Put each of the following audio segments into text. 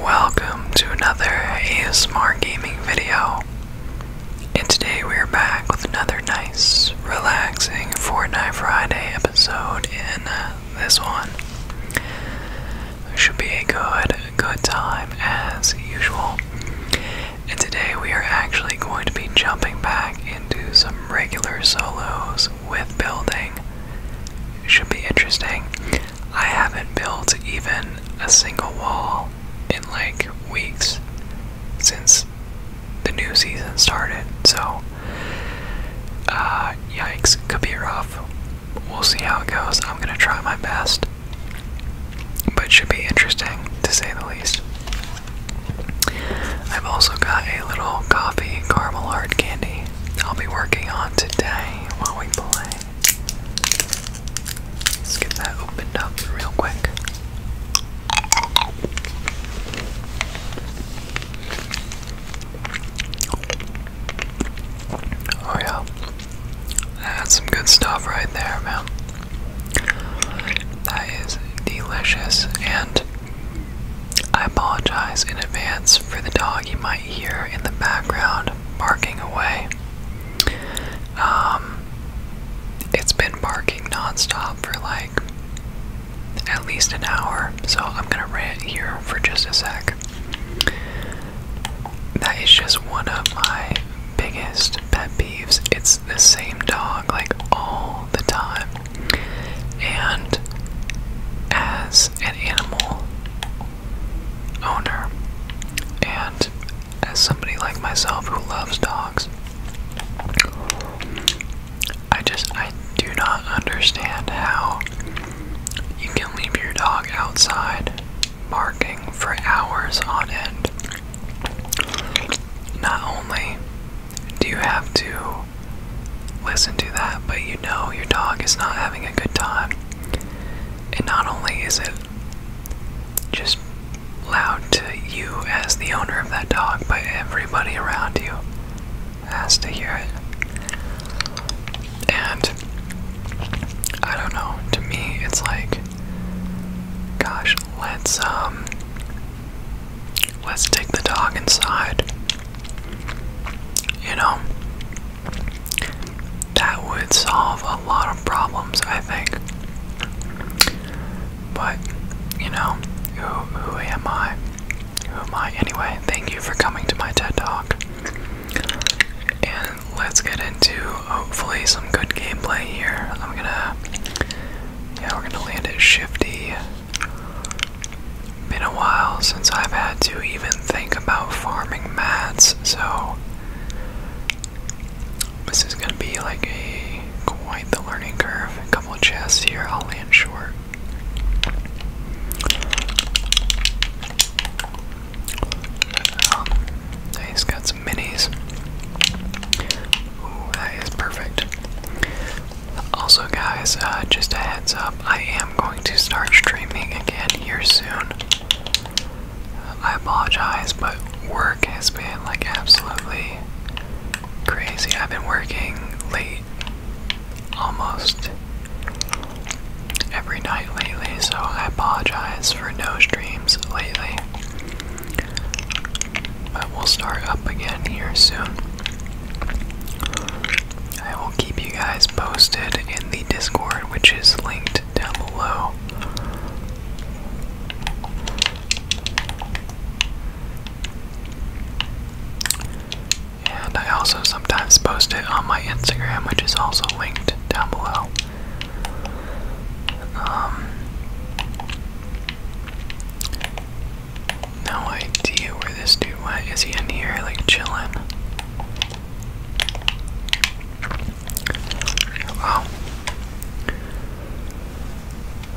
Welcome to another ASMR gaming video. And today we're back with another nice, relaxing Fortnite Friday episode in uh, this one. Should be a good, good time as usual. And today we are actually going to be jumping back into some regular solos with building should be interesting. I haven't built even a single wall in like weeks since the new season started, so uh, yikes, could be rough. We'll see how it goes. I'm gonna try my best, but should be interesting to say the least. I've also got a little coffee caramel hard candy I'll be working on today while we play. Let's get that opened up real quick. Oh, yeah. That's some good stuff right there, man. That is delicious and I apologize in advance for the dog you might hear in the background barking away. Um, it's been barking nonstop for like at least an hour, so I'm gonna rant here for just a sec. That is just one of my biggest pet peeves. It's the same dog like all the time. And as an animal owner. And as somebody like myself who loves dogs, I just I do not understand how you can leave your dog outside barking for hours on end. Not only do you have to listen to that, but you know your dog is not having a good time. And not only is it just loud to you as the owner of that dog, but everybody around you has to hear it. And I don't know, to me it's like gosh, let's um let's take the dog inside you know, that would solve a lot of problems, I think. But, you know, who, who am I? Who am I? Anyway, thank you for coming to my TED Talk. And let's get into hopefully some good gameplay here. I'm gonna. Yeah, we're gonna land it, Shifty. Been a while since I've had to even think about farming mats, so this is gonna be like a quite the learning curve. A couple of chests here, I'll land short. He's um, got some minis. Ooh, that is perfect. Also, guys, uh, just a heads up, I am going to start streaming again here soon. I apologize, but work has been like absolutely crazy. I've been working late almost every night lately, so I apologize for no streams lately. But we'll start up again here soon. I keep you guys posted in the Discord, which is linked down below. And I also sometimes post it on my Instagram, which is also linked down below. Um, no idea where this dude went. Is he in here, like, chilling? Wow.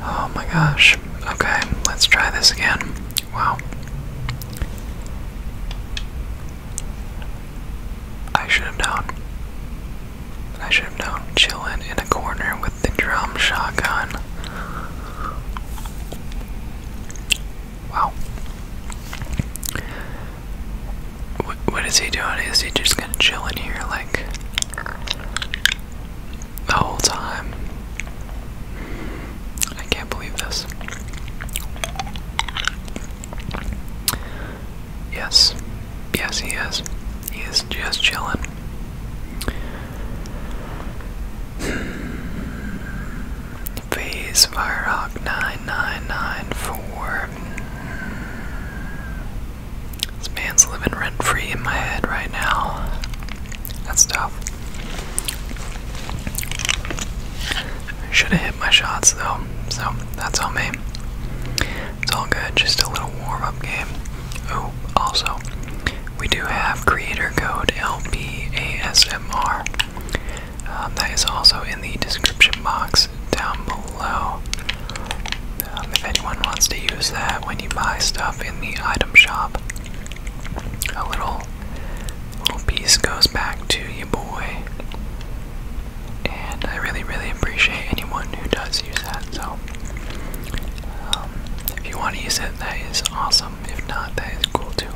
Oh. oh my gosh. Okay, let's try this again. Wow. I should have known. I should have known. Chilling in a corner with the drum shotgun. Wow. what is he doing? Is he just gonna chill in here like the whole time? I can't believe this. Yes. Yes, he is. He is just chilling. Phase Firerock 9994. This man's living rent free in my head right now. That's tough. Should have hit my shots though, so that's on me. It's all good, just a little warm up game. Oh, also, we do have creator code LBASMR. Um, that is also in the description box down below. Um, if anyone wants to use that when you buy stuff in the item shop, a little little piece goes back to you, boy. And I really, really appreciate anyone who does use that. So, um, if you want to use it, that is awesome. If not, that is cool too.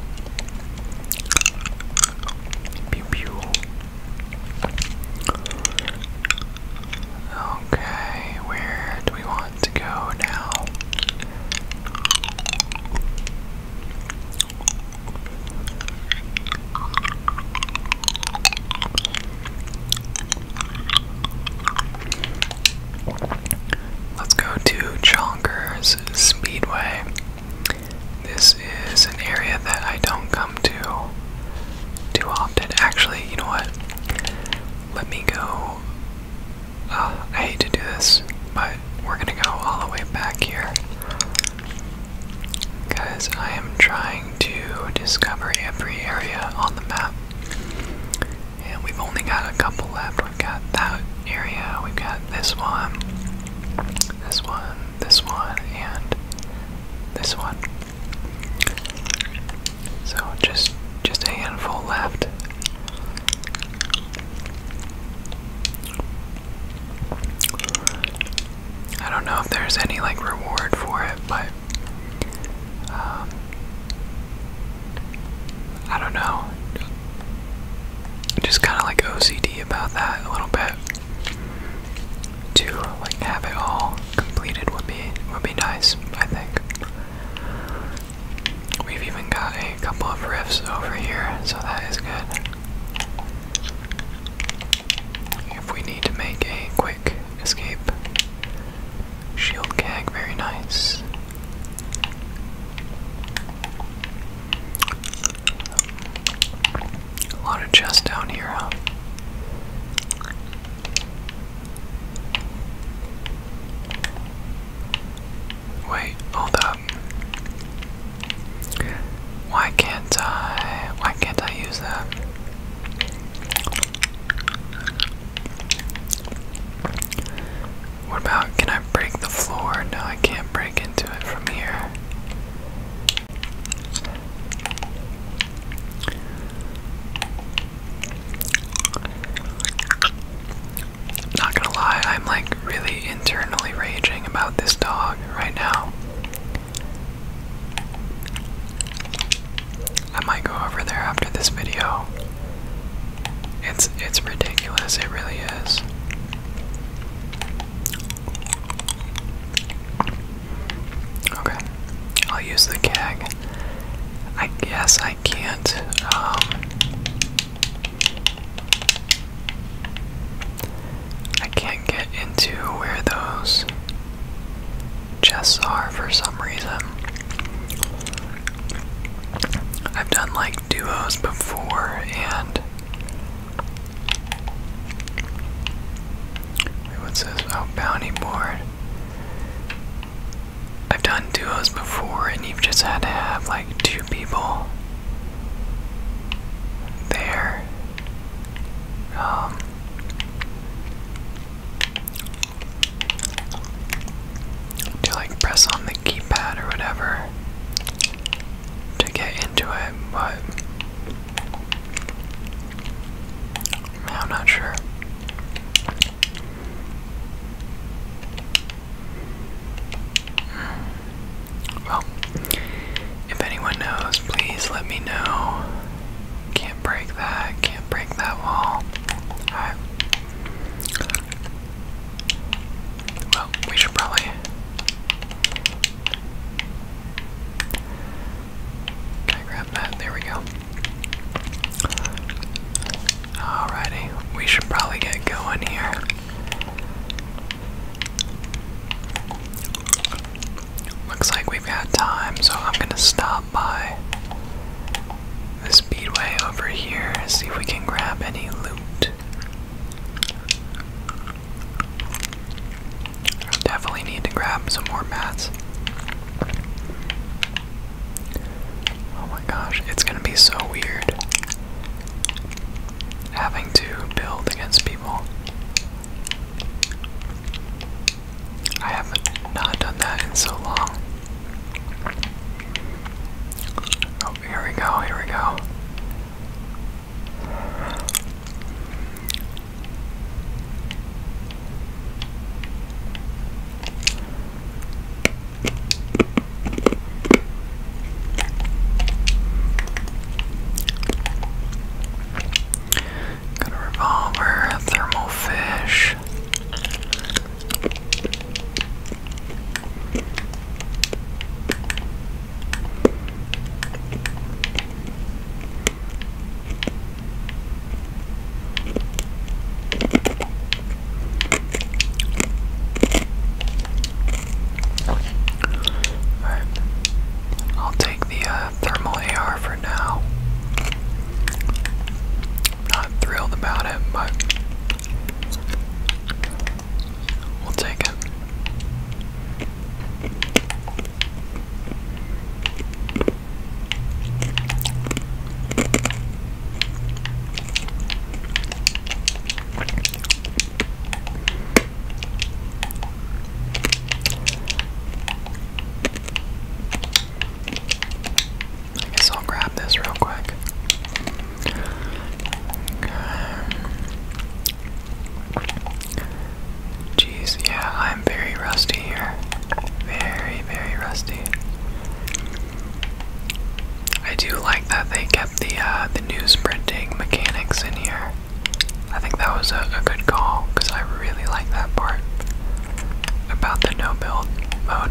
Pew pew. Okay, where do we want to go now? Let's go to Chonkers Speedway. This is an area that I don't come to too often. Actually, you know what? Let me go. Uh, I hate to do this, but we're gonna go all the way back here. Because I am trying to discover every area on the map. And we've only got a couple left. We've got that area, we've got this one, this one, this one, and this one. So just just a handful left. I don't know if there's any like reward for it, but um, I don't know. Just kind of like OCD about that a little bit. To like have it all completed would be would be nice, I think. We've even got a couple of riffs over here, so that is good. If we need to make a quick escape, shield gag, very nice. A lot of chests down here, Wait, hold up. Why can't I? Why can't I use that? What about, can I break the floor? No, I can't break into it from here. Not gonna lie, I'm like really internally raging about this dog right now. I might go over there after this video it's it's ridiculous, it really is. Okay. I'll use the gag. I guess I can't um, I can't get into where those chests are for some reason. I've done like duos before and wait, what's this? Oh, bounty board. I've done duos before and you've just had to have like two people there. Um to like press on the keypad or whatever to get into it, but I'm not sure. Well, if anyone knows, please let me know. Can't break that, can't break that wall. Alright. Well, we should probably. Can I grab that? There we go. Alrighty, we should probably get going here. Looks like we've got time, so I'm gonna stop by the speedway over here, see if we can grab any loot. Definitely need to grab some more mats. Oh my gosh, it's gonna be so weird having to build against people. I have not done that in so long here we go, here we go. Got a revolver, a thermal fish. Alright. I'll take the uh, thermal AR for now. Not thrilled about it, but We'll take it. I guess I'll grab this real quick. Jeez, yeah, I'm very rusty here. Very, very rusty. I do like that they kept the uh, the news printing mechanics in here. I think that was a good call because I really like that part about the no build mode.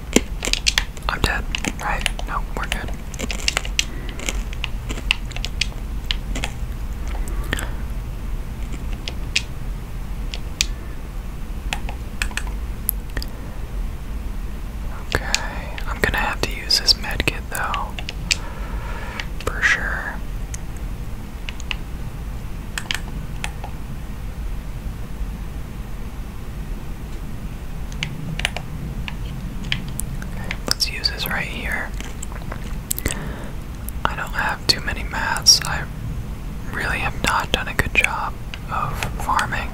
I'm dead, right? No, we're good. Okay, I'm gonna have to use this med kit though, for sure let's use this right here. I don't have too many mats. I really have not done a good job of farming.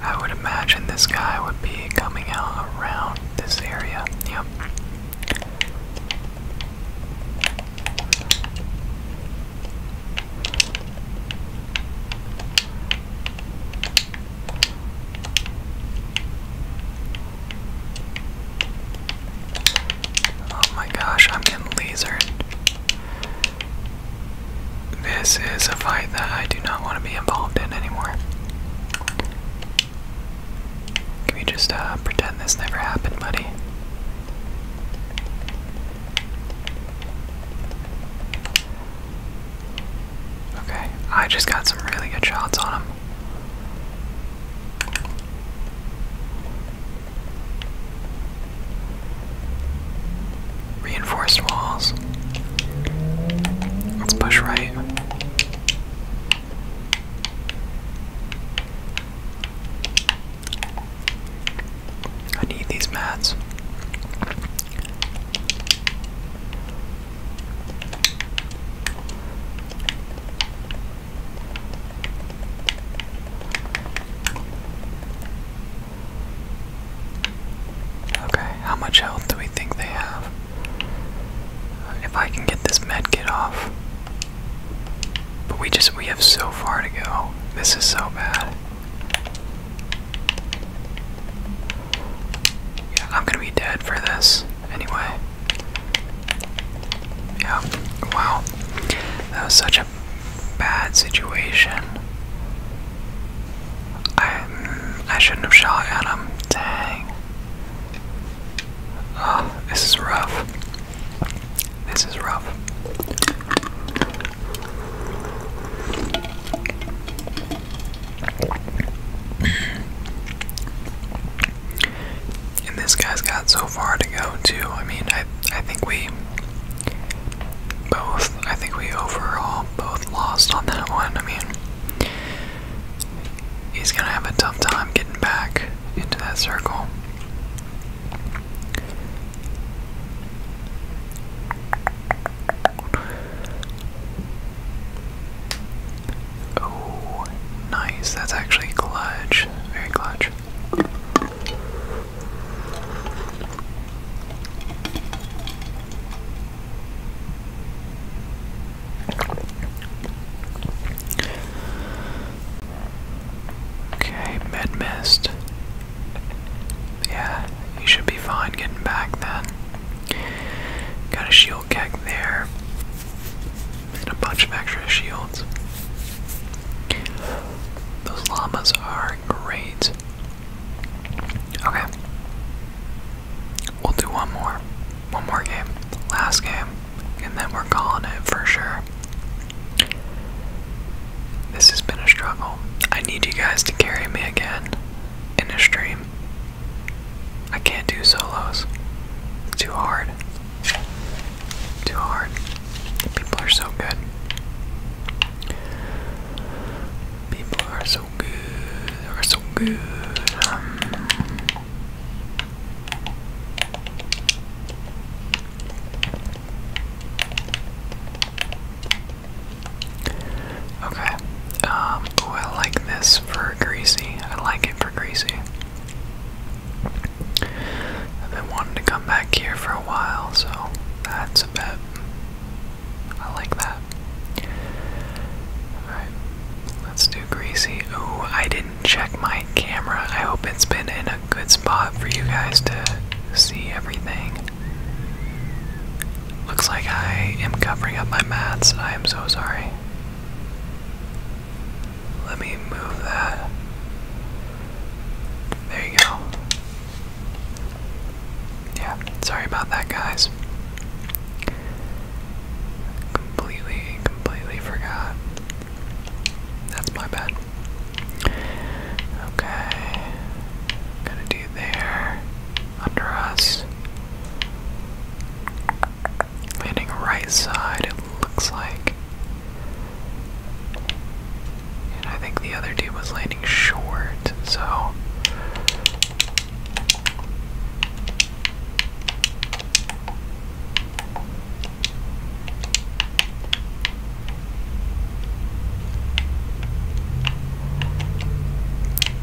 I would imagine this guy would be coming out around this area. Yep. Oh my gosh, I'm getting lasered. This is a fight that I do not want to be involved in anymore. Can we just uh, pretend this never happened, buddy? Okay, I just got some really good shots on him. Reinforced walls. Let's push right. I need these mats. Okay, how much health do we think they have? If I can get this med kit off. But we just we have so far to go. This is so bad. Yeah, I'm gonna be dead for this anyway. Yeah, wow. That was such a bad situation. I I shouldn't have shot at him. Dang. Uh, this is rough. This is rough. and this guy's got so far to go too. I mean, I I think we both I think we overall both lost on that one. I mean, he's gonna have a tough time getting back into that circle. Oh, nice. That's actually clutch. Very clutch. Okay, mid mist. Yeah, you should be fine getting back then. Got a shield keg there. And a bunch of extra shields. Those llamas are great. Okay. We'll do one more. One more game. Last game and then we're calling it for sure. This has been a struggle. I need you guys to carry me again in a stream. I can't do solos. Too hard. Too hard. People are so good. People are so good. Are so good. Um, Okay. Um, oh, I like this for Greasy. I like it for Greasy. I've been wanting to come back here for a while, so that's a bit. I like that. Alright, let's do Greasy. Oh, I didn't check my camera. I hope it's been in a good spot for you guys to see everything. Looks like I am covering up my mats. I am so sorry. Let me move that. There you go. Yeah, sorry about that, guys completely, completely forgot. That's my bad. Okay. Gonna do there. Under us. Landing right side, it looks like. And I think the other dude was landing short, so.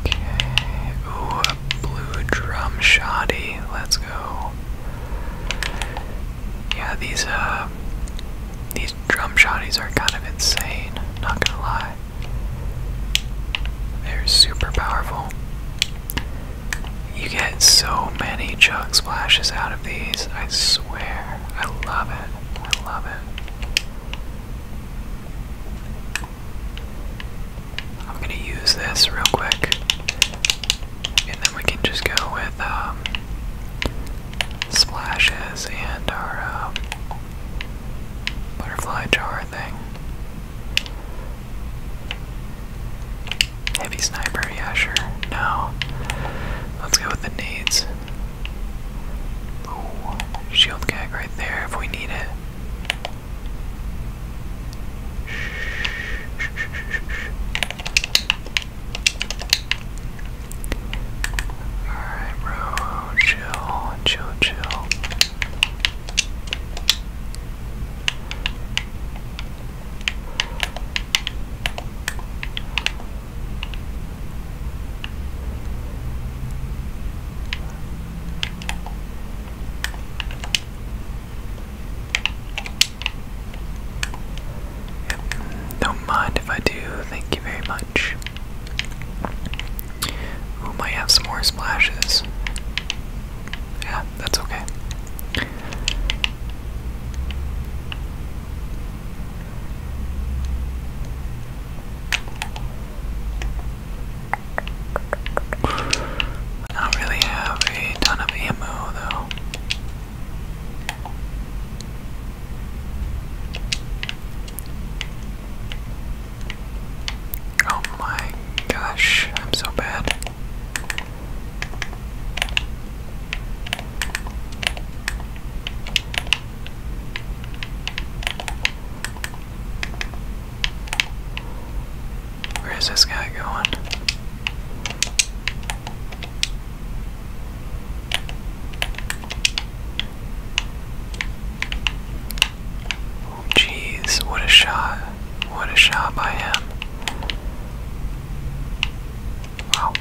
Okay. Ooh, a blue drum shoddy. Let's go. Yeah, these uh these drum shoddies are kind of insane, not gonna lie. They're super powerful. You get so many chug splashes out of these, I swear. I love it. I love it. I'm gonna use this real quick, and then we can just go with um, splashes and our um, butterfly jar thing. Heavy sniper, yeah, sure. No. Let's go with the nades. shield gag right there if we need it. Alright, bro. Chill, chill, chill. Don't mind if I do. Thank you very much. Ooh, might have some more splashes. Yeah, that's okay. not really have a ton of ammo though. Oh my gosh, I'm so bad. Where is this guy going? Jeez, what a shot. What a shot by him. Wow.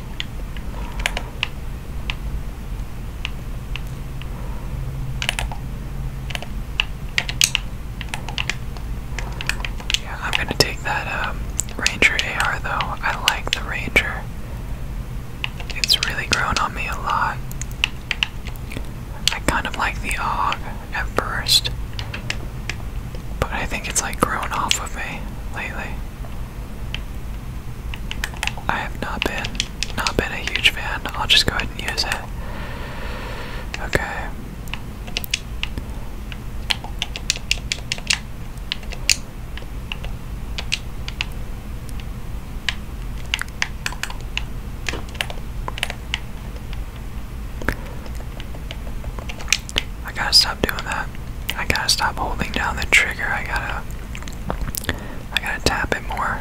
Yeah, I'm gonna take that um, Ranger AR though. I like the Ranger. It's really grown on me a lot. I kind of like the AUG at first, but I think it's like grown off of me lately. I have not been not been a huge fan. I'll just go ahead and use it. Okay. I gotta stop doing that. I gotta stop holding down the trigger. I gotta I gotta tap it more.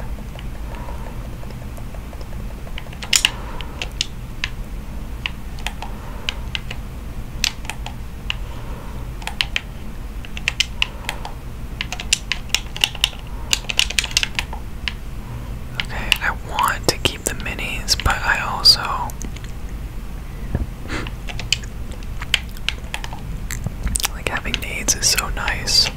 Okay, I want to keep the minis, but I also like having nades is so nice.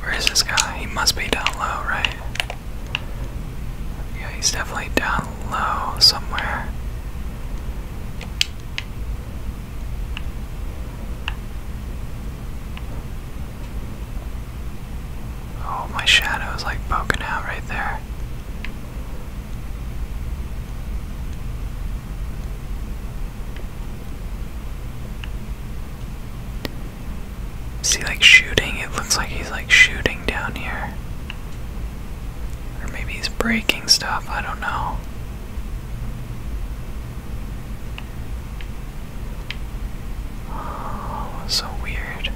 Where is this guy? He must be down low, right? Yeah, he's definitely down low somewhere. Oh, my shadow is like poking out right there. See, like shooting, it looks like he's like shooting down here. Or maybe he's breaking stuff, I don't know. Oh, so weird.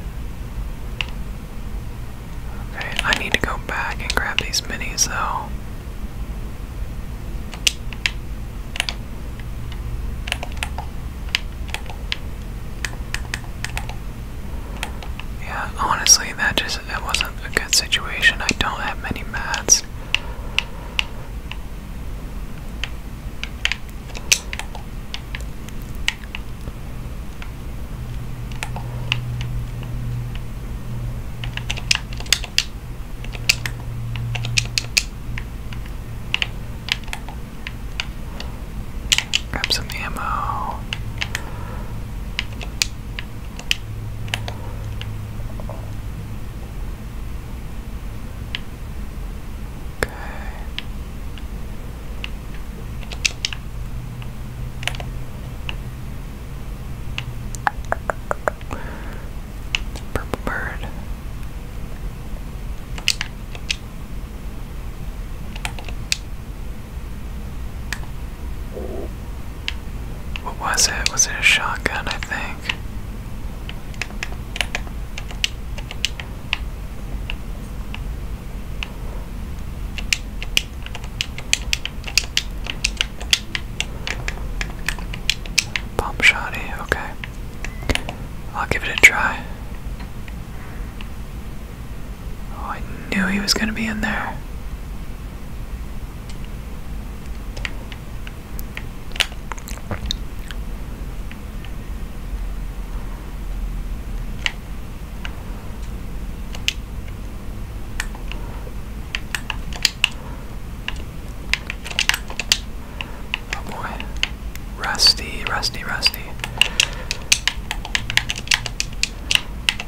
Okay, I need to go back and grab these minis though. Yeah, honestly, that just that wasn't a good situation. I don't have many mats. Grab some ammo. Okay. Purple bird. What was it? Was it a shotgun, I think? Pump shoddy, okay. I'll give it a try. Oh, I knew he was gonna be in there. Oh boy. Rusty, rusty, rusty.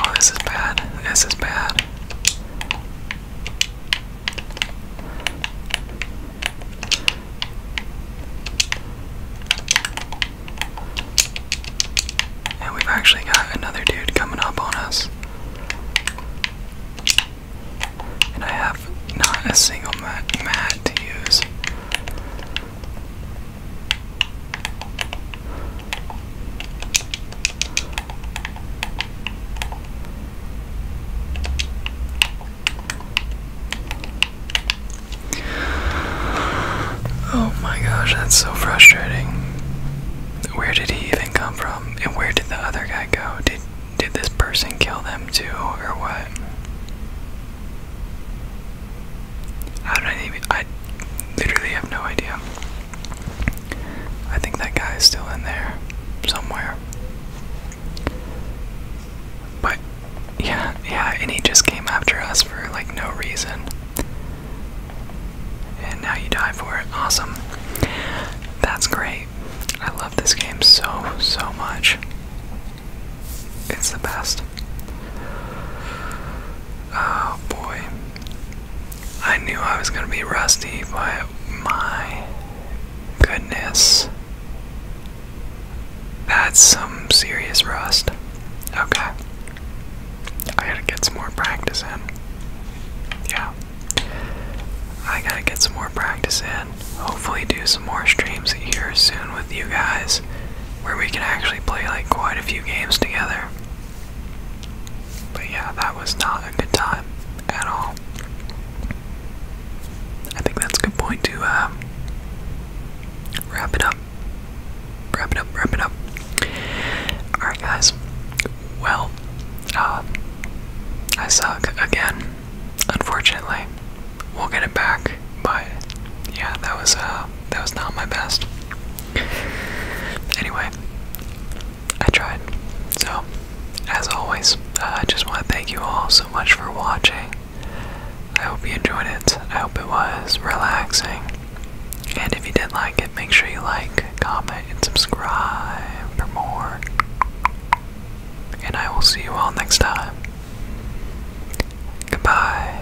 Oh, this is bad. This is bad. And we've actually got another dude coming up on us. And I have not a single mat, to use. Oh my gosh, that's so frustrating. Where did he even come from? And where did the other guy go? Did did this person kill them too or what? I don't even I literally have no idea. I think that guy is still in there somewhere. But yeah, yeah, and he just came after us for like no reason. And now you die for it. Awesome. That's great. I love this game so, so much. It's the best. Oh boy. I knew I was gonna be rusty, but my goodness. That's some serious rust. Okay. I gotta get some more practice in. Yeah. I gotta get some more practice in. Hopefully, do some more streams here soon with you guys where we can actually play like quite a few games together. But yeah, that was not a good time at all. I think that's a good point to um, wrap it up. Wrap it up, wrap it up. Alright, guys. Well, uh, I suck again, unfortunately. We'll get it back, but yeah, that was uh, that was not my best. Anyway, I tried. So, as always, uh, I just want to thank you all so much for watching. I hope you enjoyed it. I hope it was relaxing. And if you did like it, make sure you like, comment, and subscribe for more. And I will see you all next time. Goodbye.